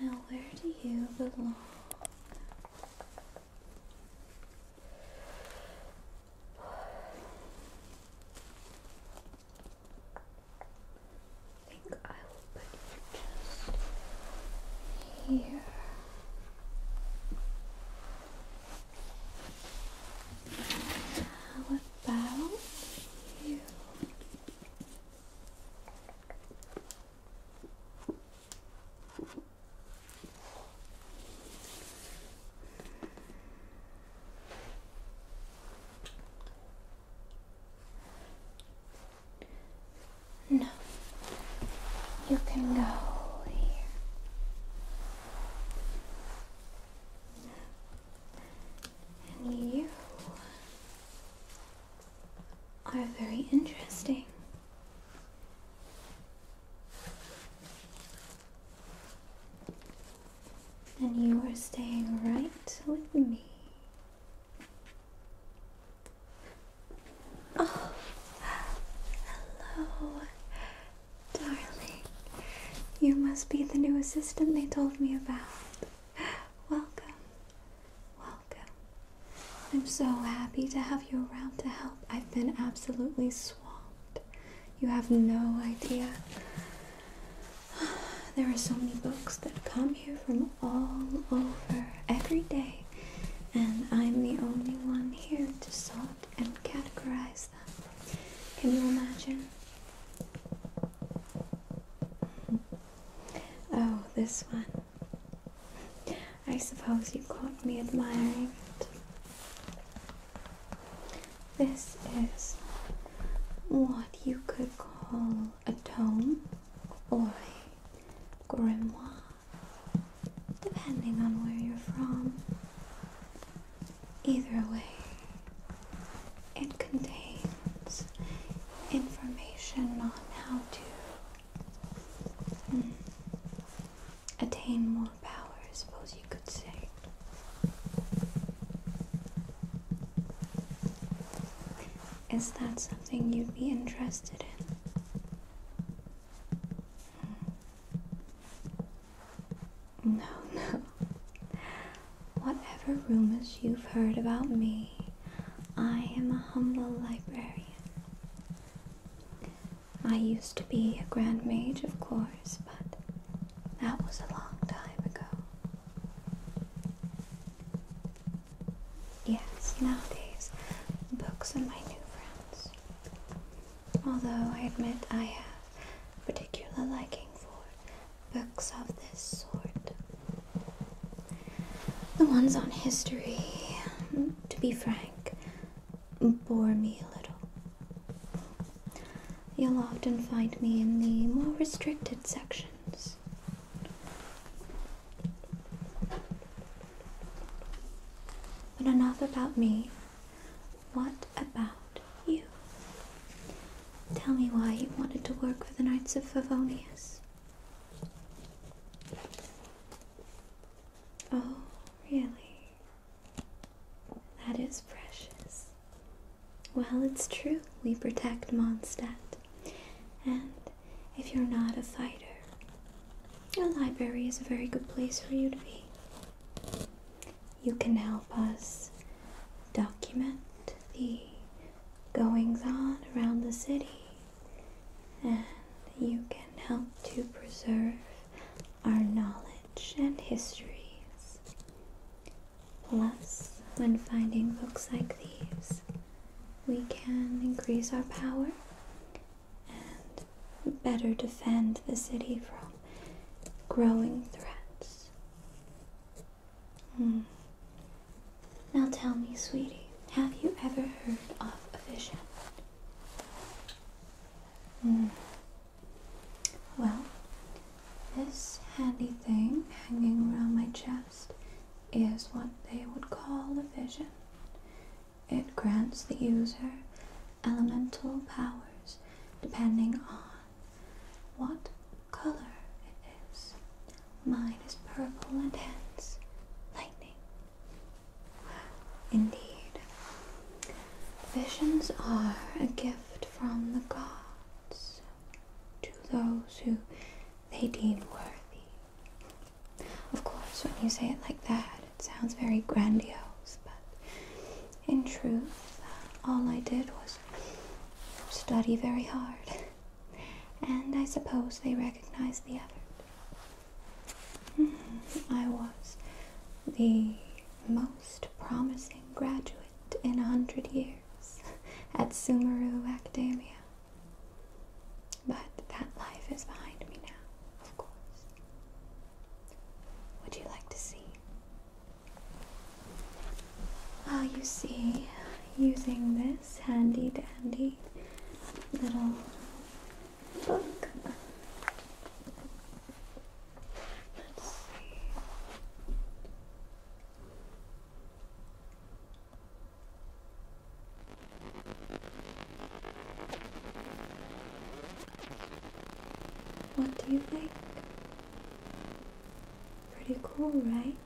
Now, where do you belong? I think I will put you just here. How about you? No, you can go here. And you are very interesting. And you are staying right with me. Oh, hello, darling. You must be the new assistant they told me about. Welcome, welcome. I'm so happy to have you around to help. I've been absolutely swimming you have no idea. There are so many books that come here from all over every day, and I'm the only one here to sort and categorize them. Can you imagine? Oh, this one. I suppose you caught me admiring it. This is what you could call a tome or grimoire, depending on where you're from. Either way, it contains information on how to hmm, attain more power, I suppose you could say. Is that something you'd be interested in? Hmm. No, no. Whatever rumors you've heard about me, I am a humble librarian. I used to be a Grand Mage, of course, but that was a long time ago. Yes, nowadays, books are my new friends. Although I admit I have a particular liking for books of this sort. The ones on history, to be frank, bore me a little. You'll often find me in the more restricted sections. But enough about me. What about you? Tell me why you wanted to work for the Knights of Favonius. Oh, really? That is precious. Well, it's true, we protect Mondstadt. And if you're not a fighter, your library is a very good place for you to be. You can help us document the goings on around the city, and you can help to preserve our knowledge and histories. Plus, when finding books like these, we can increase our power and better defend the city from growing threats. Hmm. Now tell me, sweetie, have you ever heard of a vision? Mm. Well, this handy thing hanging around my chest is what they would call a vision. It grants the user elemental powers depending on what color it is. Mine is purple and hence lightning. Indeed, Visions are a gift from the gods to those who they deem worthy. Of course, when you say it like that, it sounds very grandiose, but in truth, all I did was study very hard, and I suppose they recognized the effort. Mm-hmm, I was the most promising graduate in a hundred years at Sumaru Academia. But that life is behind me now, of course. Would you like to see? Ah, you see, using this handy dandy little book, what do you think? Pretty cool, right?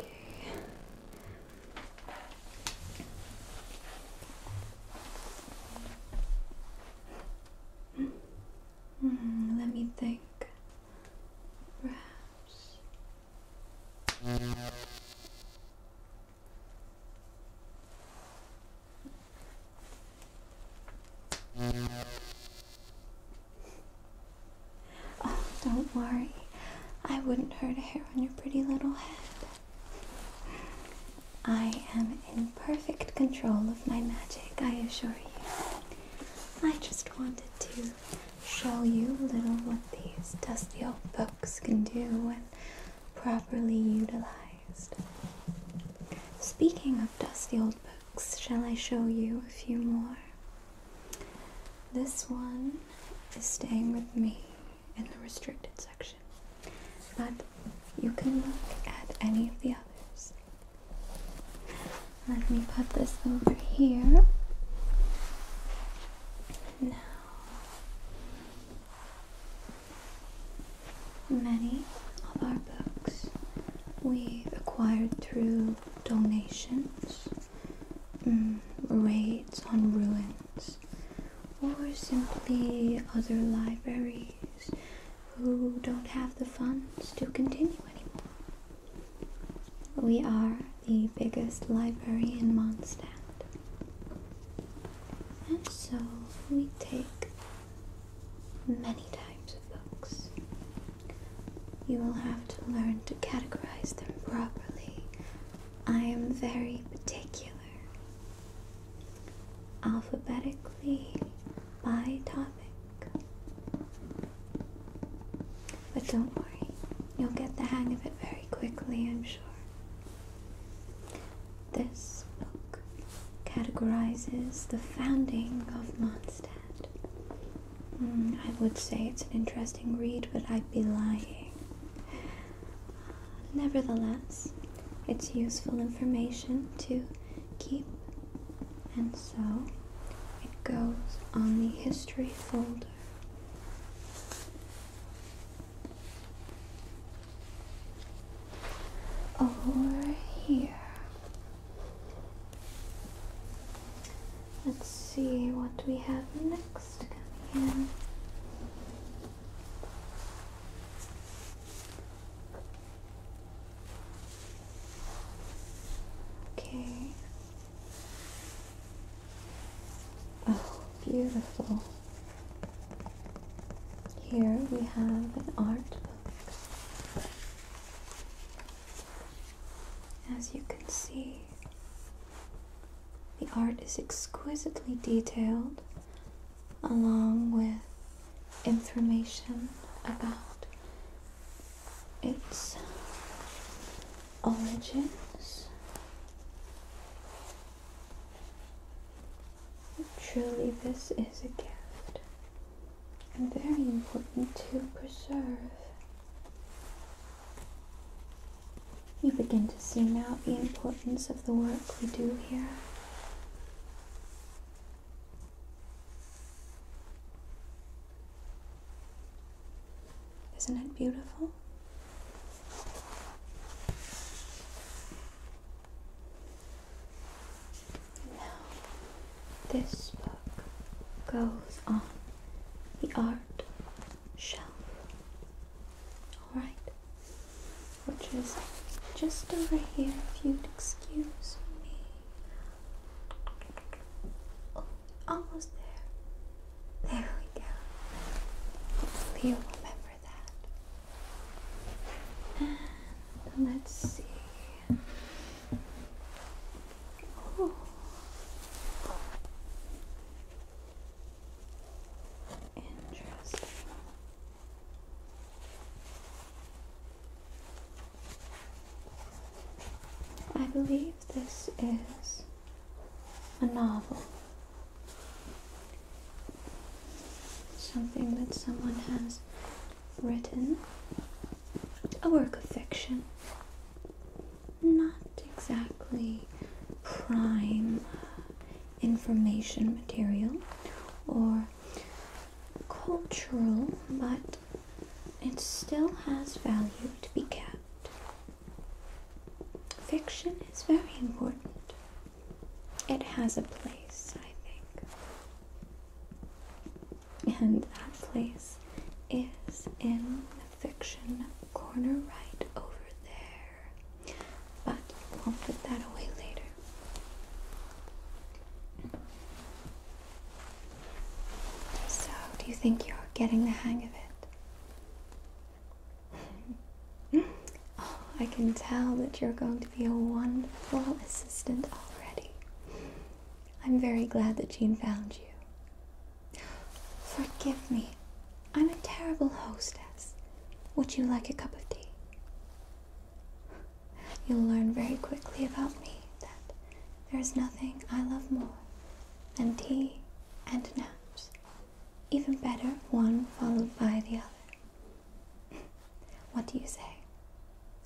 Okay. Hmm, let me think. Perhaps. Oh, don't worry. I wouldn't hurt a hair on your pretty little head. I am in perfect control of my magic, I assure you. I just wanted to show you a little what these dusty old books can do when properly utilized. Speaking of dusty old books, shall I show you a few more? This one is staying with me in the restricted section, but you can look at any of the others. Let me put this over here. Now, many of our books we've acquired through donations um, raids on ruins or simply other libraries who don't have the funds to continue anymore. We are the biggest library in Mondstadt. And so we take many types of books. You will have to learn to categorize them properly I am very particular. Alphabetically by topic. But don't worry, you'll get the hang of it very quickly, I'm sure. This book categorizes the founding of Mondstadt. Hmm, I would say it's an interesting read, but I'd be lying Nevertheless, it's useful information to keep, and so it goes on the history folder. Over here. Let's see what we have next coming in. Okay. Oh, beautiful. Here we have an art book. As you can see, the art is exquisitely detailed, along with information about its origins. Truly, this is a gift and very important to preserve. You begin to see now the importance of the work we do here. Isn't it beautiful? Now, this book goes on the art shelf. Alright, which is just over here, if you'd excuse me. Oh, almost there. There we go. you'll remember that. And let's see. Interesting. I believe this is a novel. Something that someone has written, a work of fiction not exactly prime uh, information material or cultural, but it still has value to be kept. Fiction is very important. It has a place, I think. And that place is in Fiction corner right over there. But we'll put that away later. So, do you think you're getting the hang of it? Oh, I can tell that you're going to be a wonderful assistant already. I'm very glad that Jean found you. Forgive me. I'm a terrible hostess. Would you like a cup of tea? You'll learn very quickly about me that there is nothing I love more than tea and naps. Even better, one followed by the other. what do you say?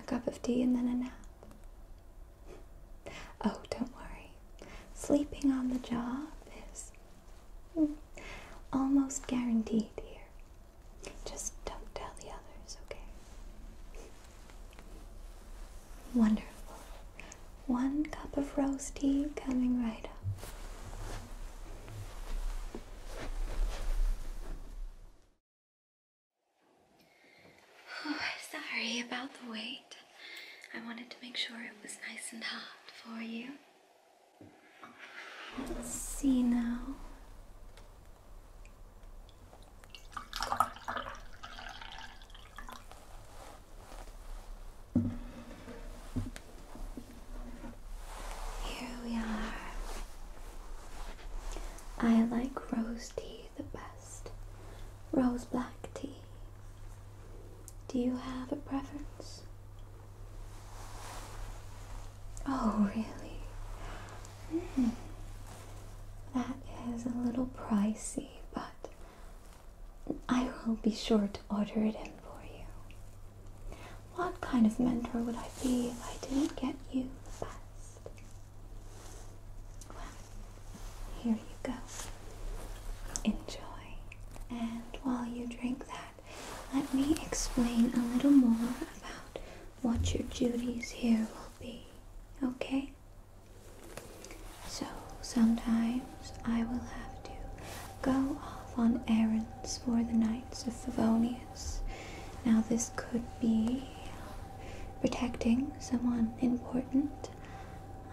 A cup of tea and then a nap? Oh, don't worry. Sleeping on the job is Mm. Almost guaranteed here. Just don't tell the others, okay? Wonderful. One cup of roast tea coming right up. sorry about the wait. I wanted to make sure it was nice and hot for you. Let's see now. Here we are. I like rose tea the best. Rose black tea. Do you have a preference? Oh, really? Hmm. That is a little pricey, but I will be sure to order it in for you. What kind of mentor would I be if I didn't get you the best? Well, here you go. Enjoy. And while you drink that, let me explain a little more about what your duties here will be, okay? So sometimes I will have to go off on errands for the Knights of Favonius. Now, this could be protecting someone important,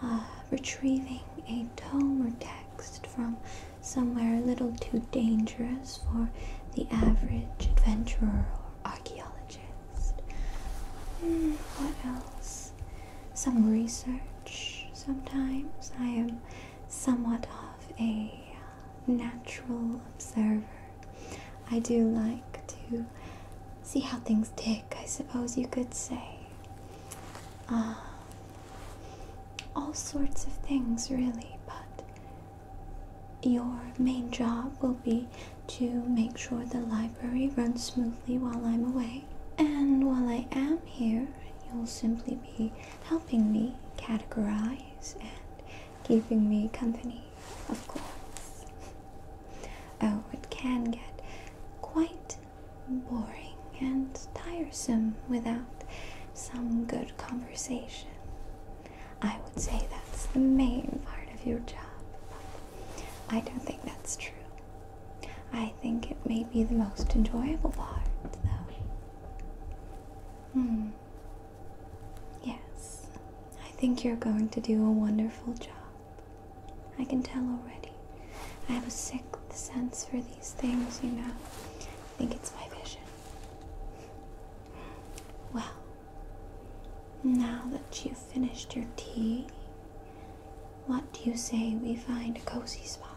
uh, retrieving a tome or text from somewhere a little too dangerous for the average adventurer or archaeologist. Hmm, what else? Some research. Sometimes I am somewhat of a uh, natural observer. I do like to see how things tick, I suppose you could say. Uh, all sorts of things, really, but your main job will be to make sure the library runs smoothly while I'm away. And while I am here, you'll simply be helping me categorize and keeping me company, of course. Oh, it can get quite boring and tiresome without some good conversation. I would say that's the main part of your job, but I don't think that's true. I think it may be the most enjoyable part, though. Hmm. Yes, I think you're going to do a wonderful job. I can tell already. I have a sixth sense for these things, you know. I think it's my vision. Well, now that you've finished your tea, what do you say we find a cozy spot?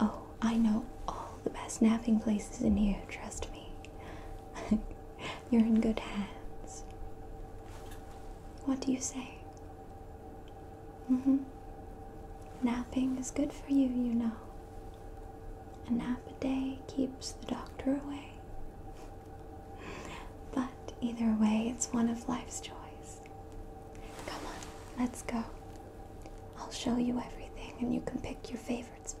Oh, I know all the best napping places in here, trust me. You're in good hands. What do you say? Mm-hmm. Napping is good for you, you know. A nap a day keeps the doctor away. But either way, it's one of life's joys. Come on, let's go. I'll show you everything and you can pick your favorite spot.